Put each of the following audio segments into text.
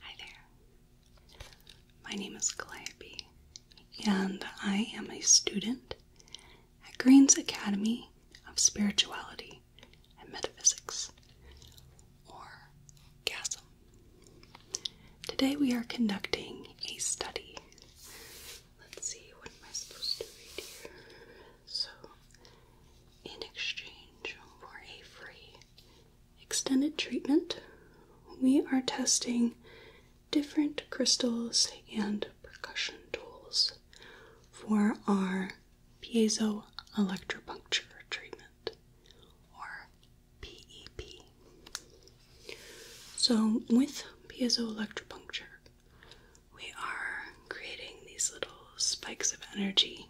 Hi there. My name is Calliope, and I am a student at Green's Academy of Spirituality and Metaphysics, or GASM. Today we are conducting a study. Let's see, what am I supposed to read here? So, in exchange for a free extended treatment, we are testing different crystals and percussion tools for our piezo electropuncture treatment or PEP. So, with piezo electropuncture, we are creating these little spikes of energy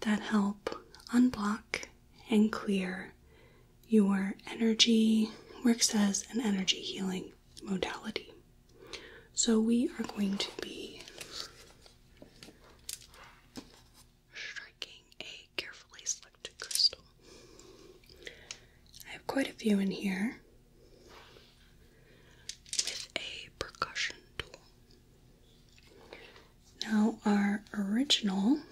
that help unblock and clear your energy, works as an energy healing modality. So, we are going to be striking a carefully selected crystal. I have quite a few in here with a percussion tool. Now, our original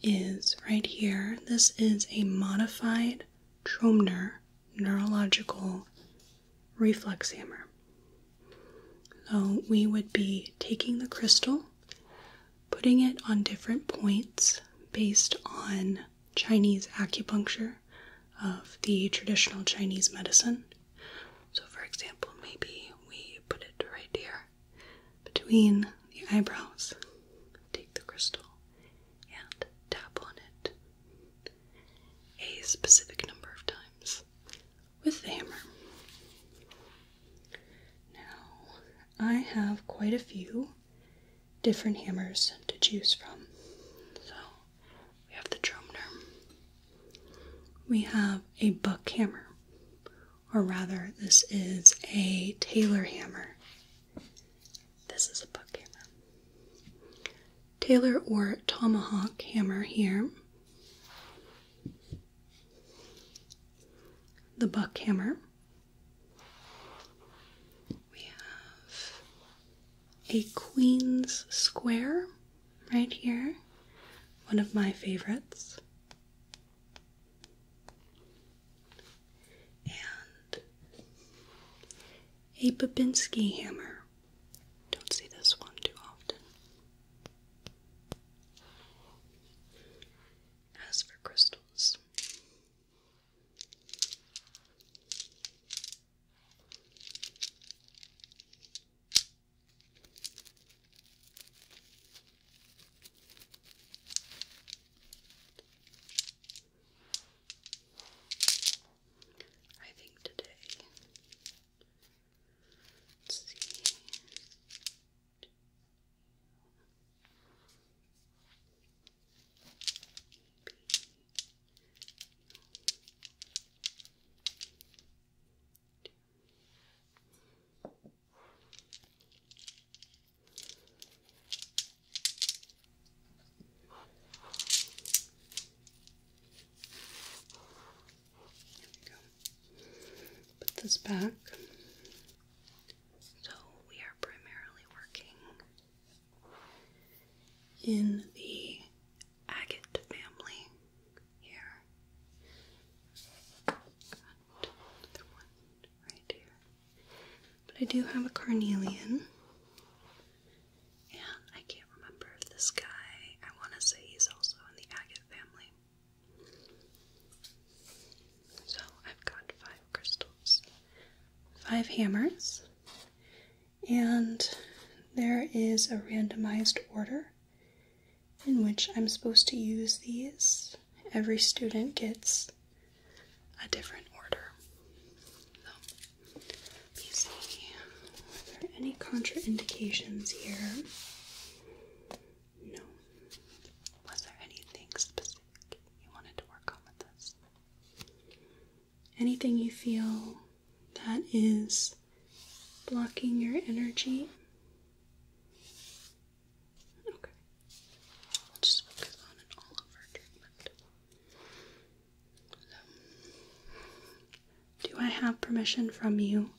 is right here. This is a modified Tromner neurological reflex hammer. So, we would be taking the crystal, putting it on different points based on Chinese acupuncture of the traditional Chinese medicine. So, for example, maybe we put it right here between the eyebrows, take the crystal and tap on it a specific number of times with the hammer. Now, I have quite a few different hammers to choose from. So, we have the Dromner, we have a buck hammer, or rather, this is a tailor hammer. This is a buck hammer. tailor or tomahawk hammer here. The buck hammer. We have a queen's square right here, one of my favorites. And a Babinski hammer. Don't see this one too often. As for crystals, I think today. Let's see. Put this back. So we are primarily working in the agate family here. Got another one right here. But I do have a carnelian. And I can't remember if this guy, I want to say he's also in the agate family. So I've got five crystals, five hammers, and there is a randomized order in which I'm supposed to use these. Every student gets a different order. So, let me see. Are there any contraindications here? No. Was there anything specific you wanted to work on with this? Anything you feel that is blocking your energy. Okay. just focus on an all over treatment. Um, do I have permission from you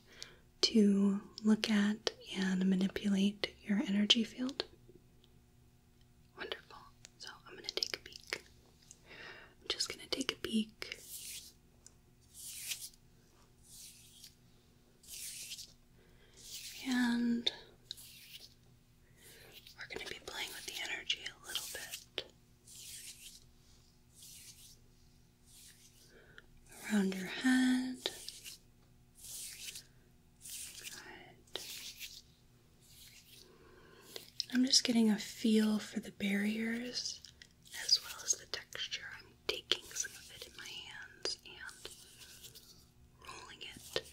to look at and manipulate your energy field? Wonderful. So, I'm going to take a peek. I'm just going to take a peek and we're going to be playing with the energy a little bit around your head. Good. I'm just getting a feel for the barriers as well as the texture. I'm taking some of it in my hands and rolling it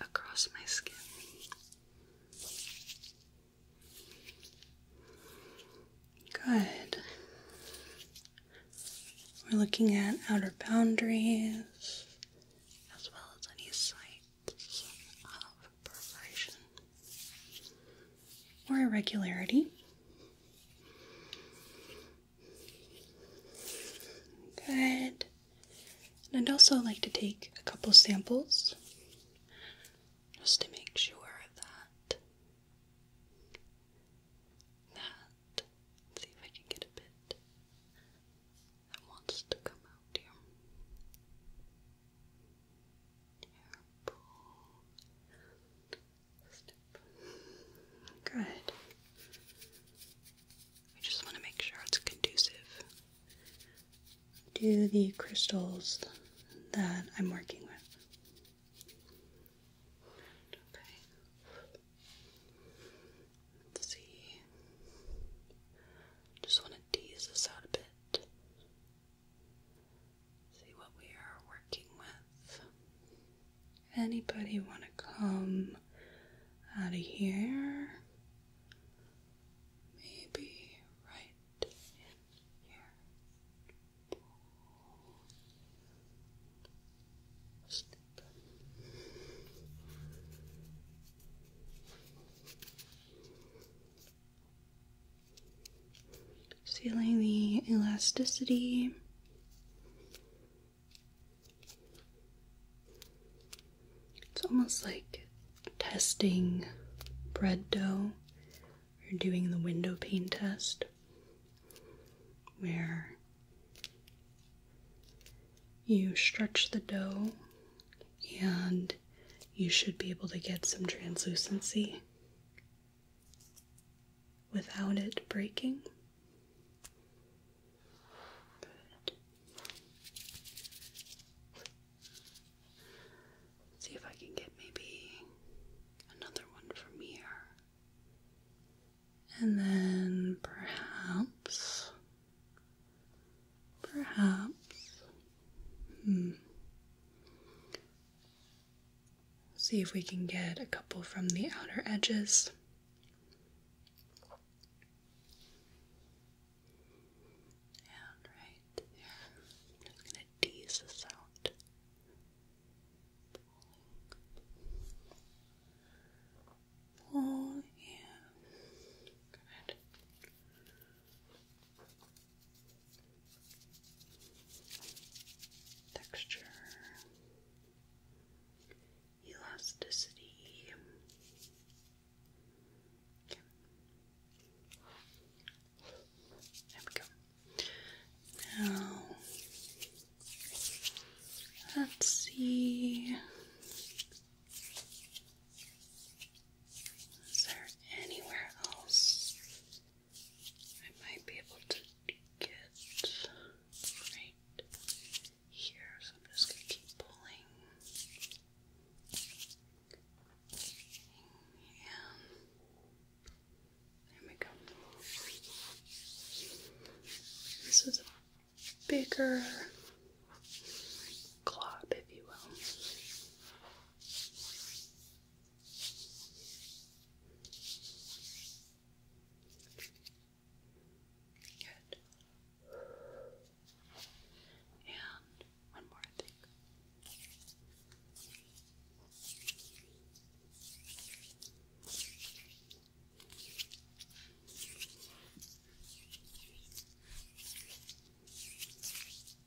across my skin. Good. We're looking at outer boundaries as well as any sites of perforation or irregularity. Good. And I'd also like to take a couple samples just to make sure that that see if I can get a bit that wants to come out here. Step. Good. We just want to make sure it's conducive to the crystals that I'm working with. Okay. Let's see. Just want to tease this out a bit see what we are working with. Anybody want to come out of here? Maybe right here. Sealing the elasticity. It's almost like testing bread dough or doing the windowpane test where you stretch the dough and you should be able to get some translucency without it breaking. see if I can get maybe another one from here. And then perhaps, perhaps, hmm. See if we can get a couple from the outer edges. And right there. I'm just going to tease this out. Pulling. Pulling. Good texture, elasticity. There we go. Now, let's see. Is there anywhere else I might be able to get right here, so I'm just going to keep pulling. And there we go. This is a bigger glob, if you will. Good. And one more, I think. Good.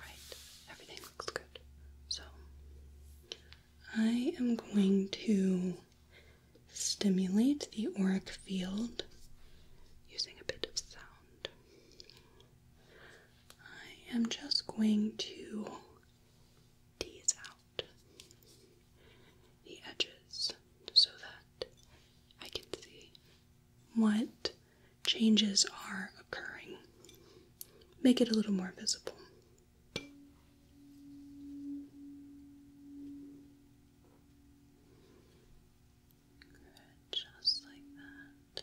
Right, everything looks good. So, I am going to stimulate the auric field using a bit of sound. I am just going to tease out the edges so that I can see what changes are occurring. Make it a little more visible. just like that.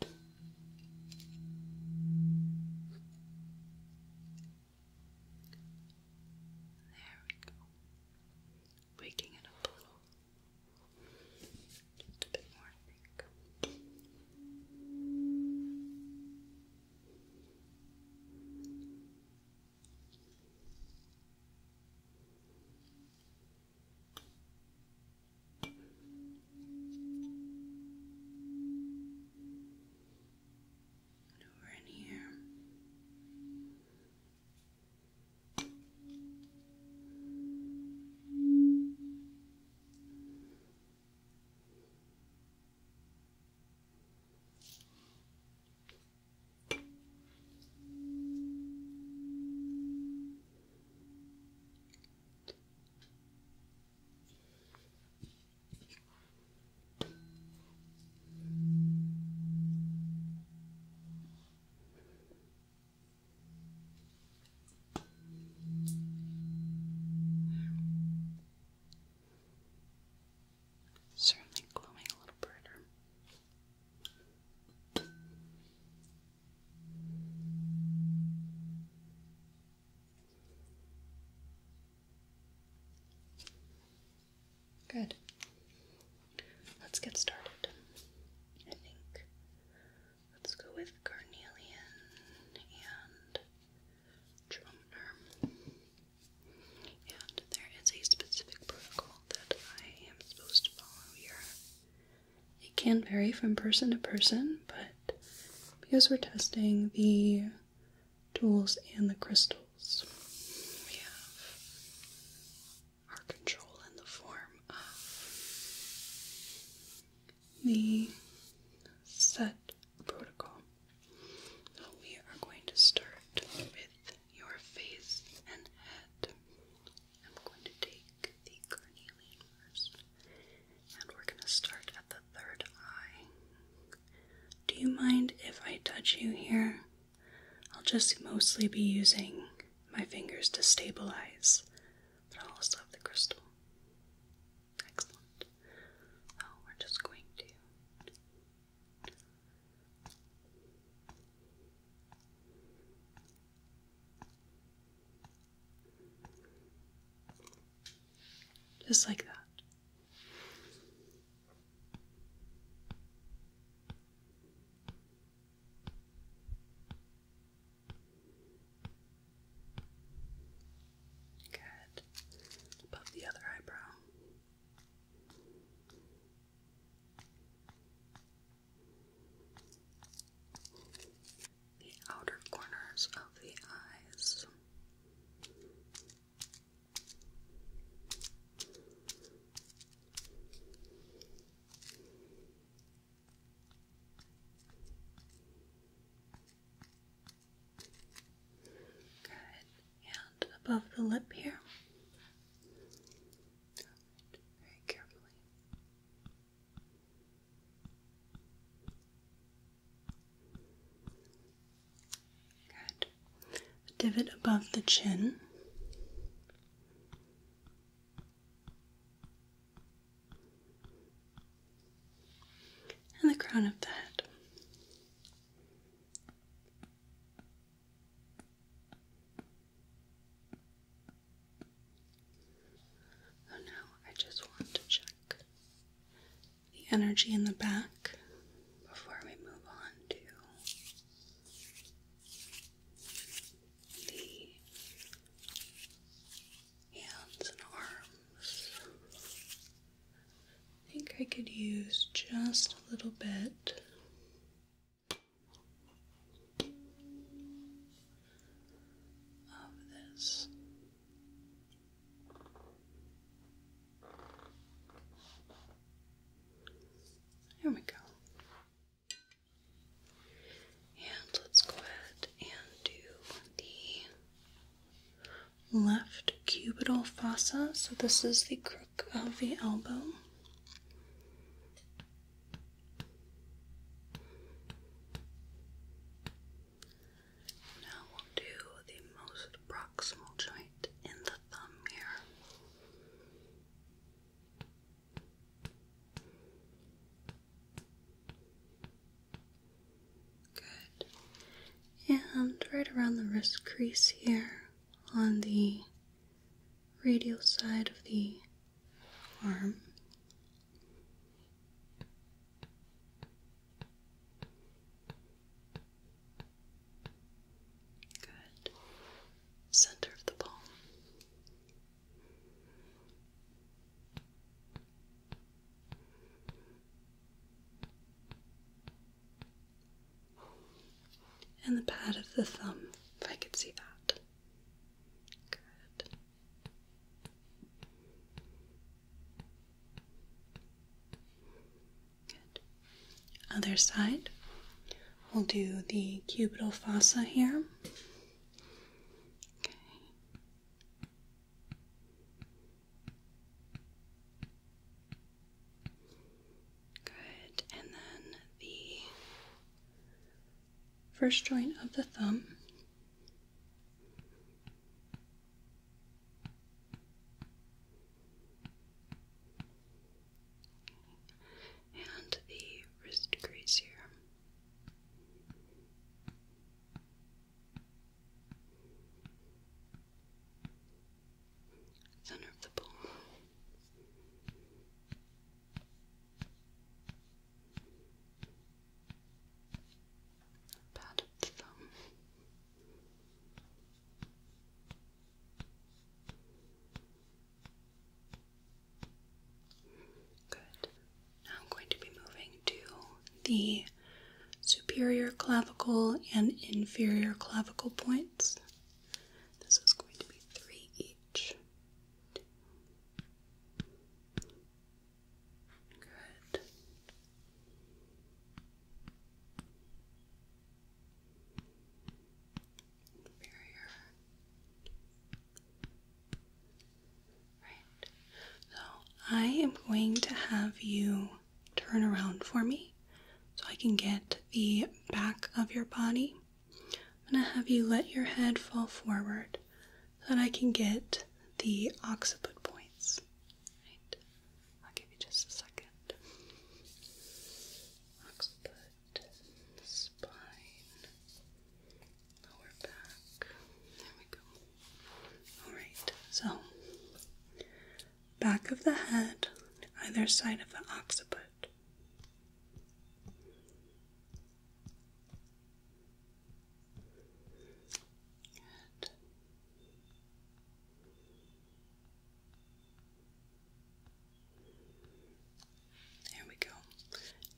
There we go. Waking it up a little. Just a bit more, I think. And over in here. Certainly glowing a little brighter. Good. Let's get started. I think let's go with carnelian and Trumner. And there is a specific protocol that I am supposed to follow here it can vary from person to person, but because we're testing the tools and the crystals, we have our control in the form of the set protocol. So we are going to start with your face and head. I'm going to take the carnelian first, and we're going to start at the third eye. Do you mind if I touch you here? I'll just mostly be using my fingers to stabilize, but I'll also have the crystal. Excellent. Oh, we're just going to. Just like that. Good. Above the other eyebrow the outer corners of the eyes. Good. And above the lip here. very carefully. Good. divot above the chin. And the crown of the head. Oh no, I just want to check the energy in the back before we move on to the hands and arms. I think I could use just a little bit of this. There we go. And let's go ahead and do the left cubital fossa. So this is the crook of the elbow. Now we'll do the most proximal joint in the thumb here. Good. And right around the wrist crease here on the radial side of the arm. Good. Center of the palm. And the pad of the thumb, if I could see that. Good. Other side. We'll do the cubital fossa here. Good. And then the first joint of the thumb. And the wrist crease here. Center of the palm. Bad thumb. Good. Now I'm going to be moving to the superior clavicle and inferior clavicle points. This is going to be three each. Good. Inferior. Right. So I am going to have you turn around for me so I can get the back of your body I'm going to have you let your head fall forward so that I can get the occiput points. I'll give you just a second. Occiput, spine, lower back. There we go. Alright, so back of the head, either side of the occiput. There we go.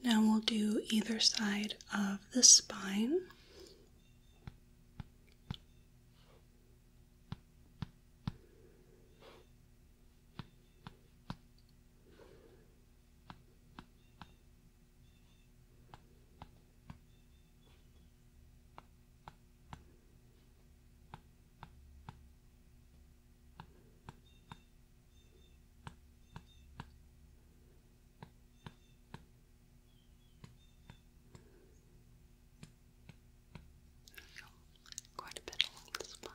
Now we'll do either side of the spine. Quite a bit along the spine.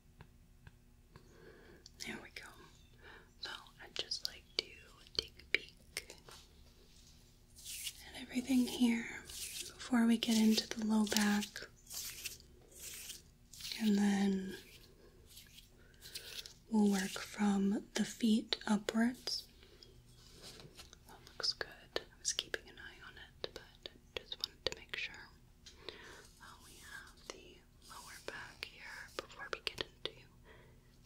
There we go. So i just like to take a peek at everything here before we get into the low back. And then we'll work from the feet upwards. That looks good. I was keeping an eye on it, but just wanted to make sure. we have the lower back here before we get into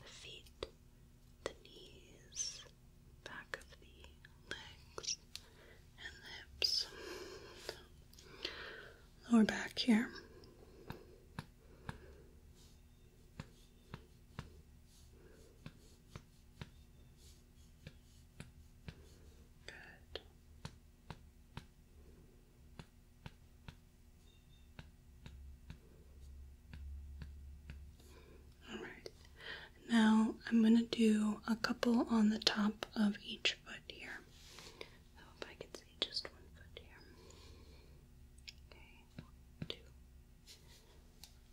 the feet, the knees, back of the legs, and hips. Lower back here. Good. Alright, now I'm going to do a couple on the top of each foot here. hope I can see just one foot here. Okay, two,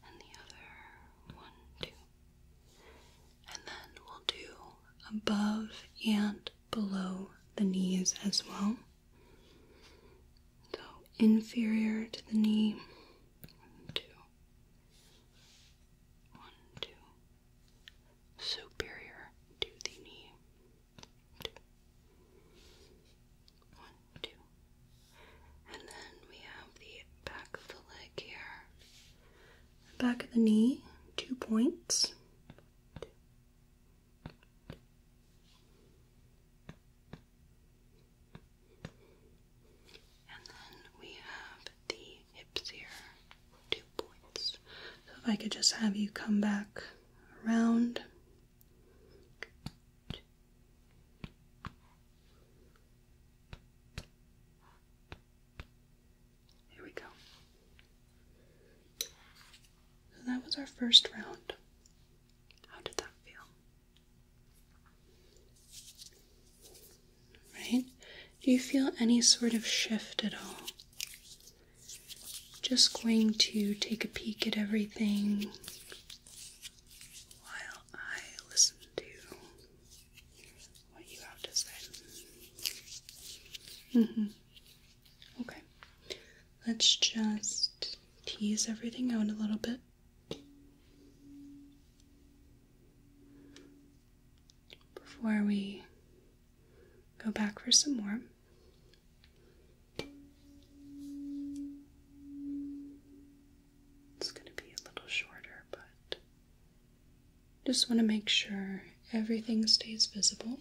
and the other one, two. And then we'll do above and below the knees as well. So inferior to the knee. One, Superior to the knee. Two. And then we have the back of the leg here. back of the knee, two points. And then we have the hips here, two points. So if I could just have you come back around. Here we go. So that was our first round. How did that feel? Right? Do you feel any sort of shift at all? Just going to take a peek at everything while I listen to what you have to say. Mm-hmm. Okay, let's just tease everything out a little bit. Before we go back for some more. It's going to be a little shorter, but just want to make sure everything stays visible.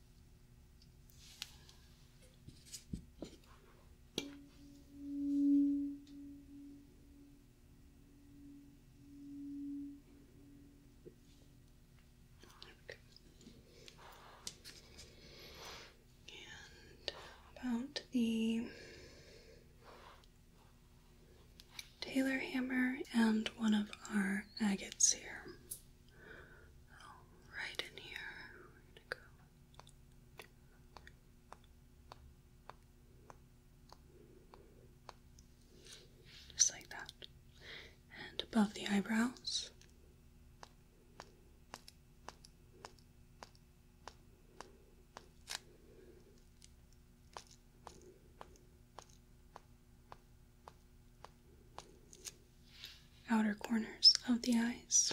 about the Taylor hammer and one of our agates here. right in here. Just like that. And above the eyebrows outer corners of the eyes.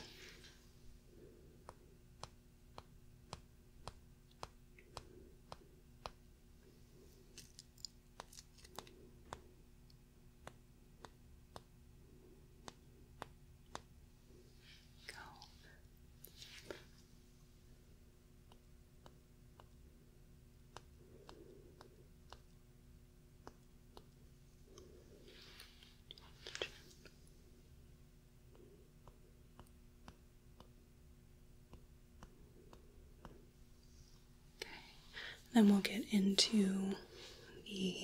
Go. Okay, then we'll get into the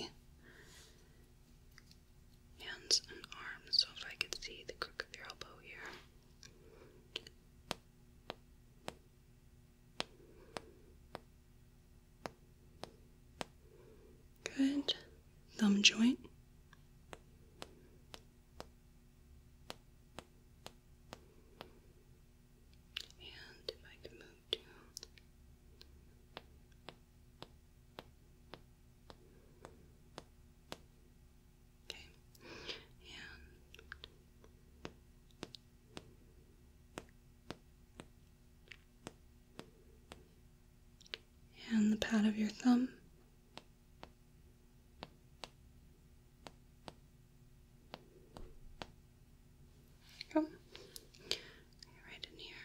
hands and arms. So if I could see the crook of your elbow here. Good. Thumb joint. And if I can move down. Okay. And and the pad of your thumb. Come right in here.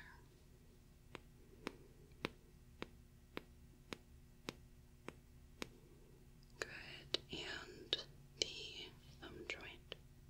Good, and the thumb joint.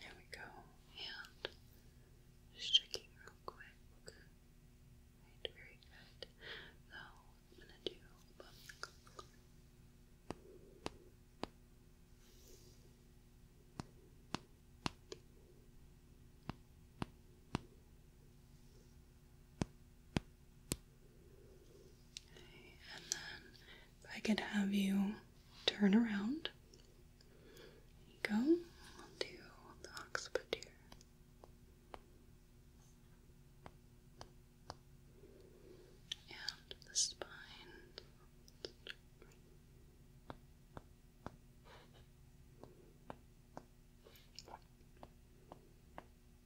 There we go. And just checking real quick. very good. Now I'm gonna do bum and then I could have you turn around. go. I'll do the occiput here. And the spine.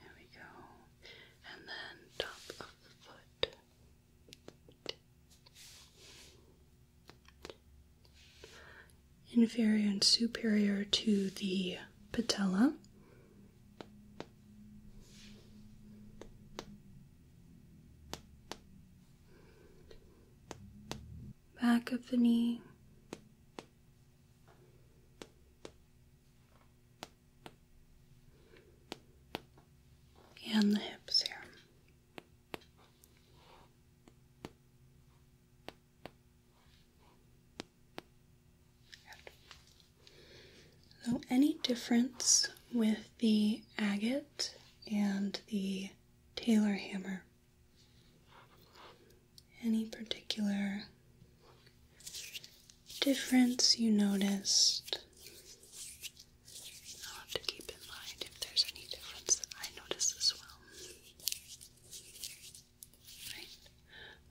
There we go. And then top of the foot inferior and superior to the patella. Back of the knee, and the hips here. So, any difference with the agate and the Taylor hammer? Any particular difference you noticed? I'll have to keep in mind if there's any difference that I notice as well.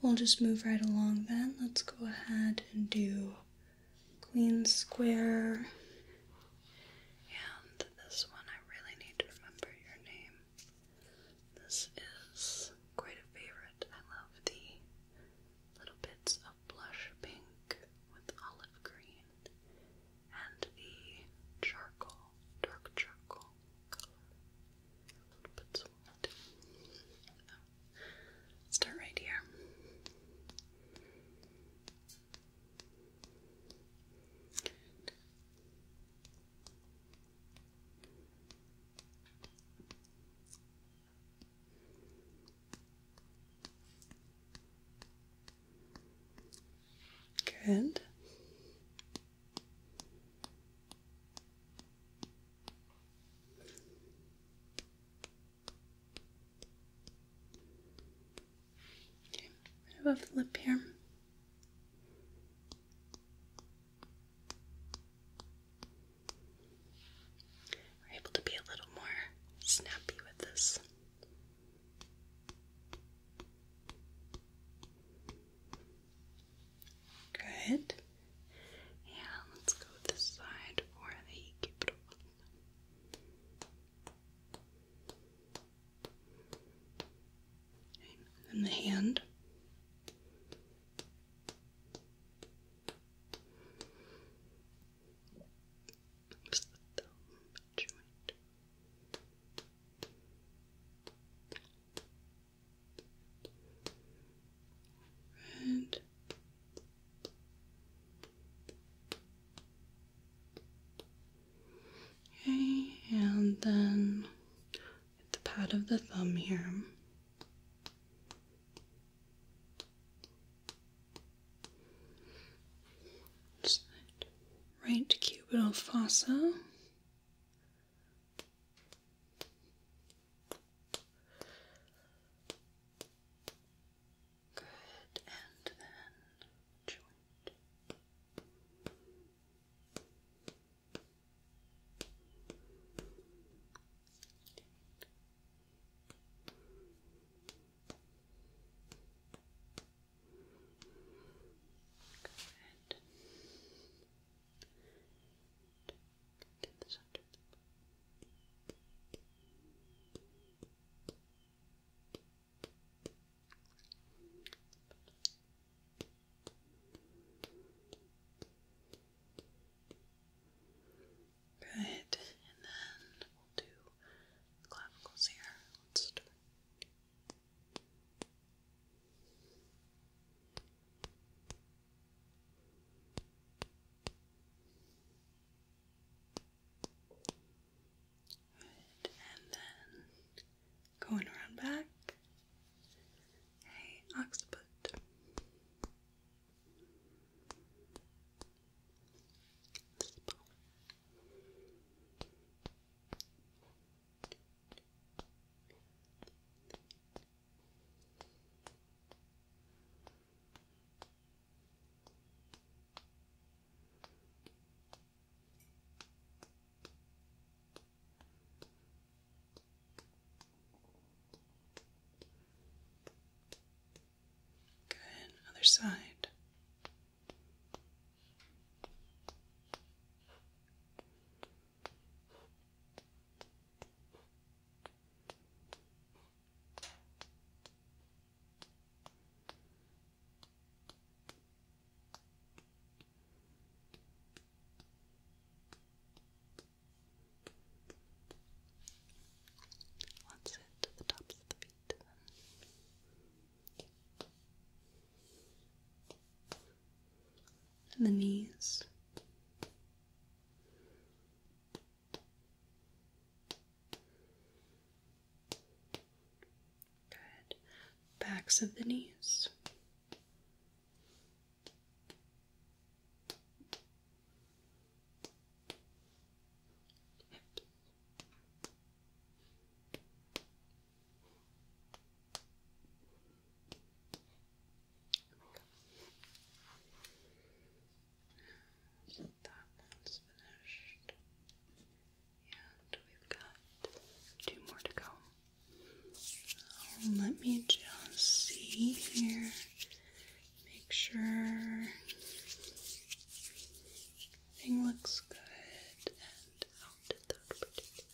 We'll just move right along then. Let's go ahead and do Queen square. And this one, I really need to remember your name. This is quite a favorite. I love the little bits of blush pink with olive green and the charcoal, dark charcoal color. Put oh. Start right here. Good. Okay, above the lip here. We're able to be a little more snappy with this. Good. Yeah, let's go this side for the cubital. and the hand. Just the joint. Red. Okay, and then with the pad of the thumb here. Right cubital fossa Good, and then joint. Good to the Good, and then we'll do clavicles here. Let's start and then going around back, a occiput. Good, other side. Once it to the tops of the feet, then and the knees. Good. Backs of the knees that one's finished. And we've got two more to go. let me just see here. Make sure everything looks good and out at that particular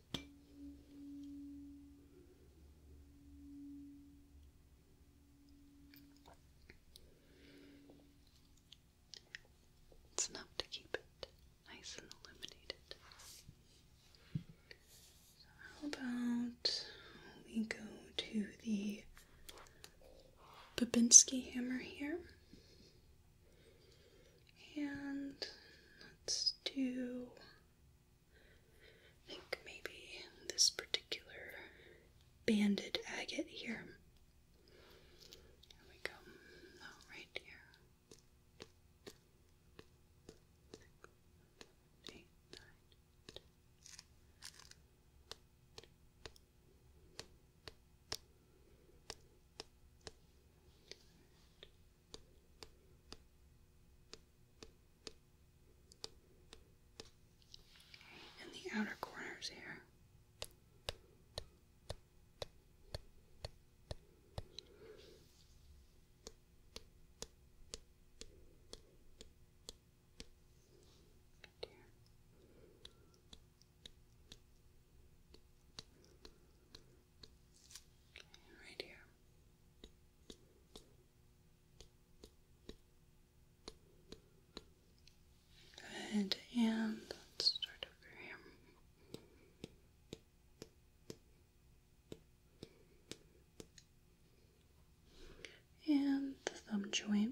It's enough to keep it nice and illuminated. how about we go to the Babinski hammer here? And let's do I think maybe this particular banded agate here. Here we go. right here in the outer corners here. Right here right here. Good, and let's start over here. And the thumb joint.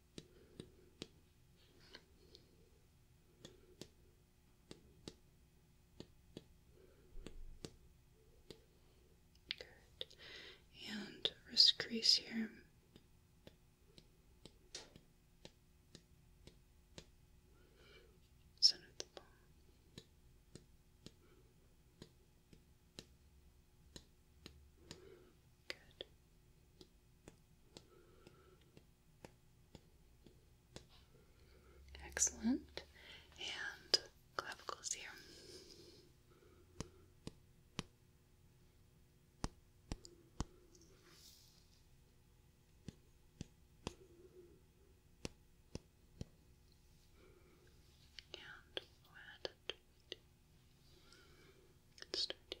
And wrist crease here. Center Good. Excellent. And clavicles here. And we'll it. Start here.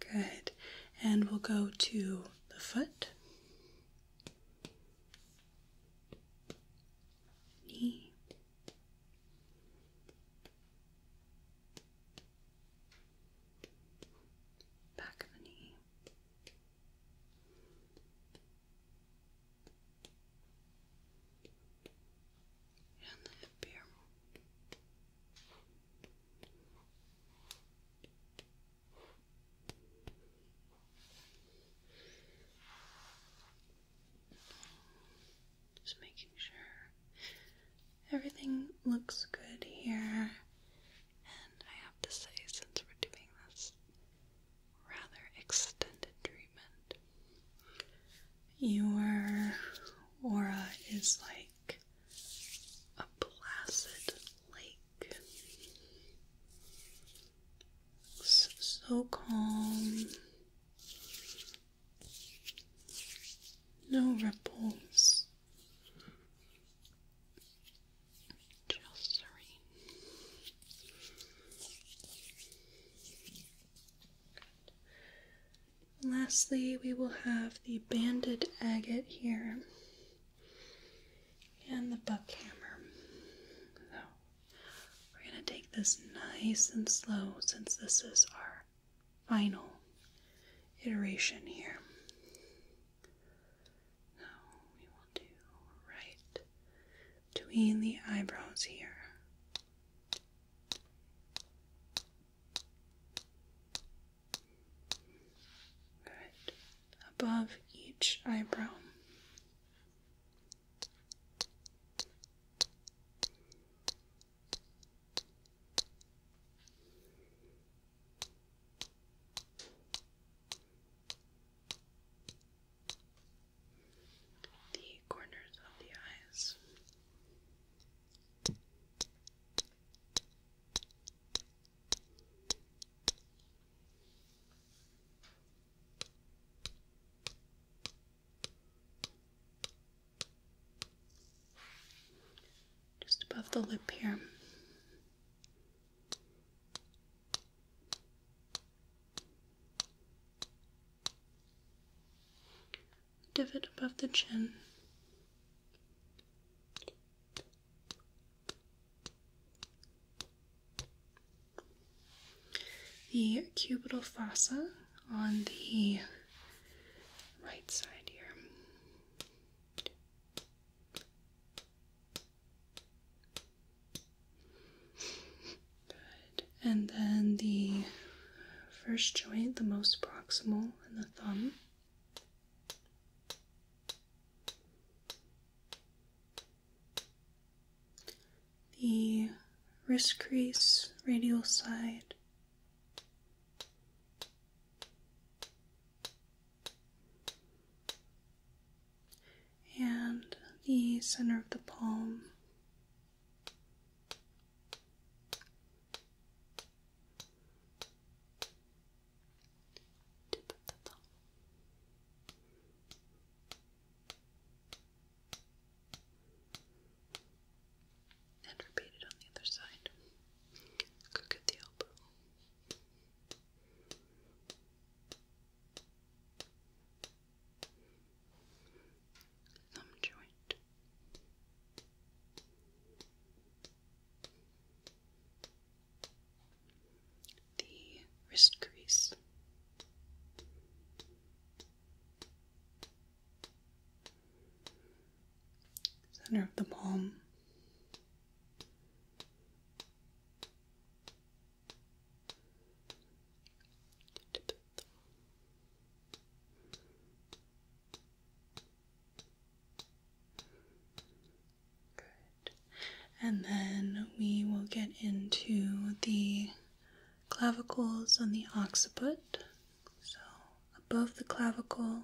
Good. And we'll go to the foot, knee, back of the knee. And the hip just making sure everything looks good here. And I have to say, since we're doing this rather extended treatment, your aura is like a placid lake. So, calm. No ripples. Just serene. Good. Lastly, we will have the banded agate here and the buckhammer. So we're going to take this nice and slow since this is our final iteration here. So we will do right between the eyebrows here. Above each eyebrow. The corners of the eyes. Just above the lip here divot above the chin. The cubital fossa on the right side here. Good and then the first joint, the most proximal, and the thumb. The wrist crease, radial side. And the center of the palm Tip of the thumb. And repeat it on the other side. Cook at the elbow thumb joint. The wrist crease, center of the palm, tip of the thumb, Good. And then we will get into the clavicles on the occiput. So above the clavicle,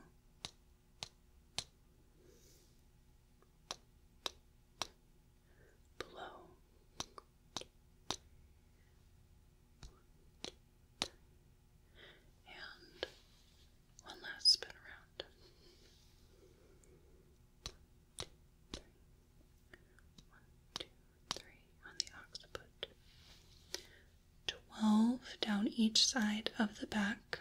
below. And one last spin around. One, two, three. on the occiput. Twelve down each side of the back.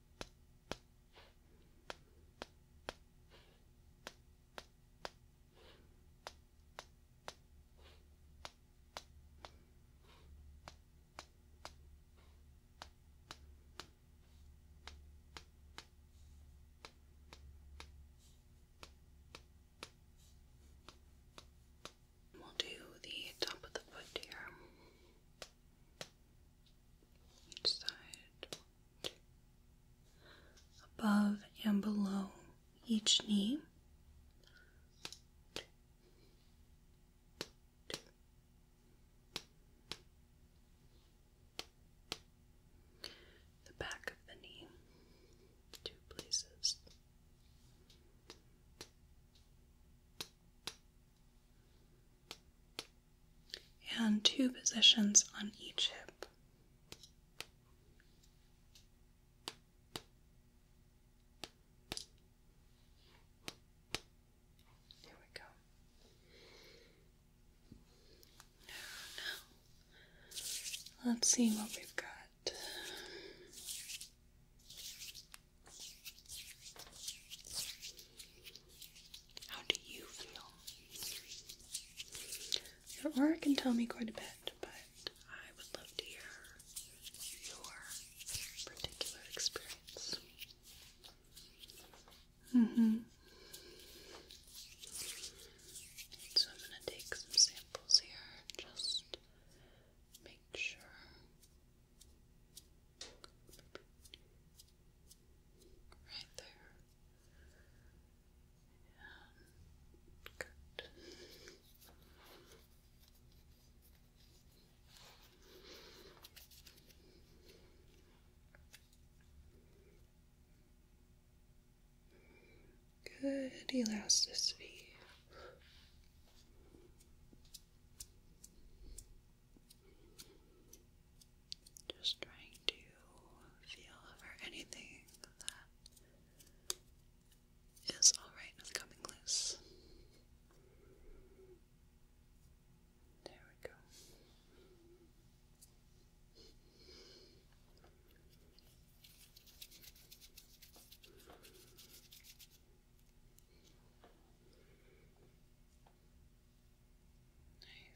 We'll do the top of the foot here. Each side above and below each knee. The back of the knee, two places and two positions on each hip. Here we go. Now, let's see what we've got. How do you feel? Your aura can tell me quite a bit, but I would love to hear your particular experience. Mm-hmm. So I'm going to take some samples here, just make sure. Right there. good. Good elasticity. Just trying to feel for anything that is alright with coming loose. There we go.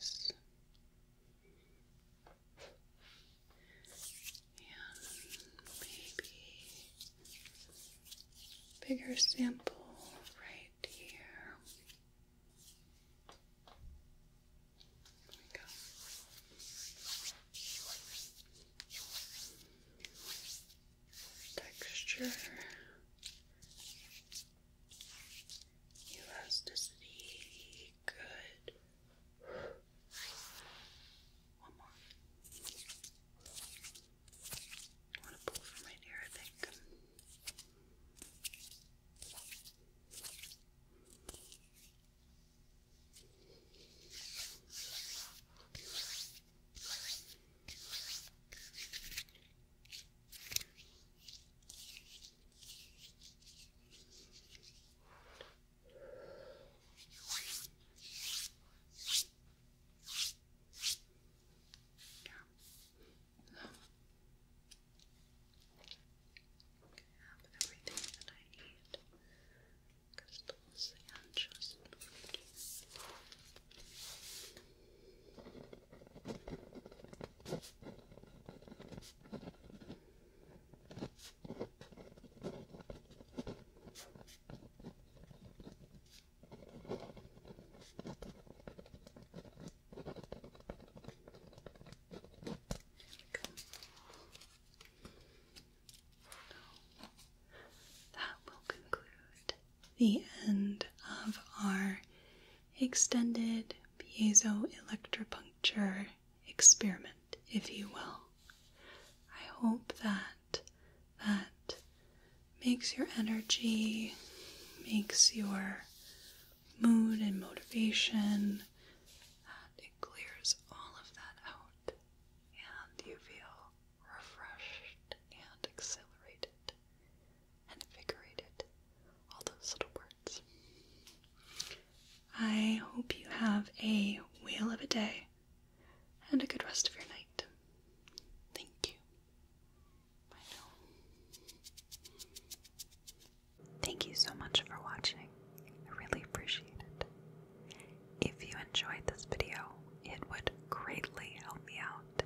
Nice. And maybe bigger sample right here. There we go. Texture Elasticity, good. One more. I want to pull from right here, I think have everything that I need crystals and just that will conclude the end of our extended piezo electropuncture experiment, if you will. I hope that that makes your energy, makes your mood and motivation, that it clears all of that out and you feel refreshed and exhilarated invigorated, all those little words. I hope you have a wheel of a day and a good rest of your night. Thank you. Bye Thank you so much for watching. I really appreciate it. If you enjoyed this video, it would greatly help me out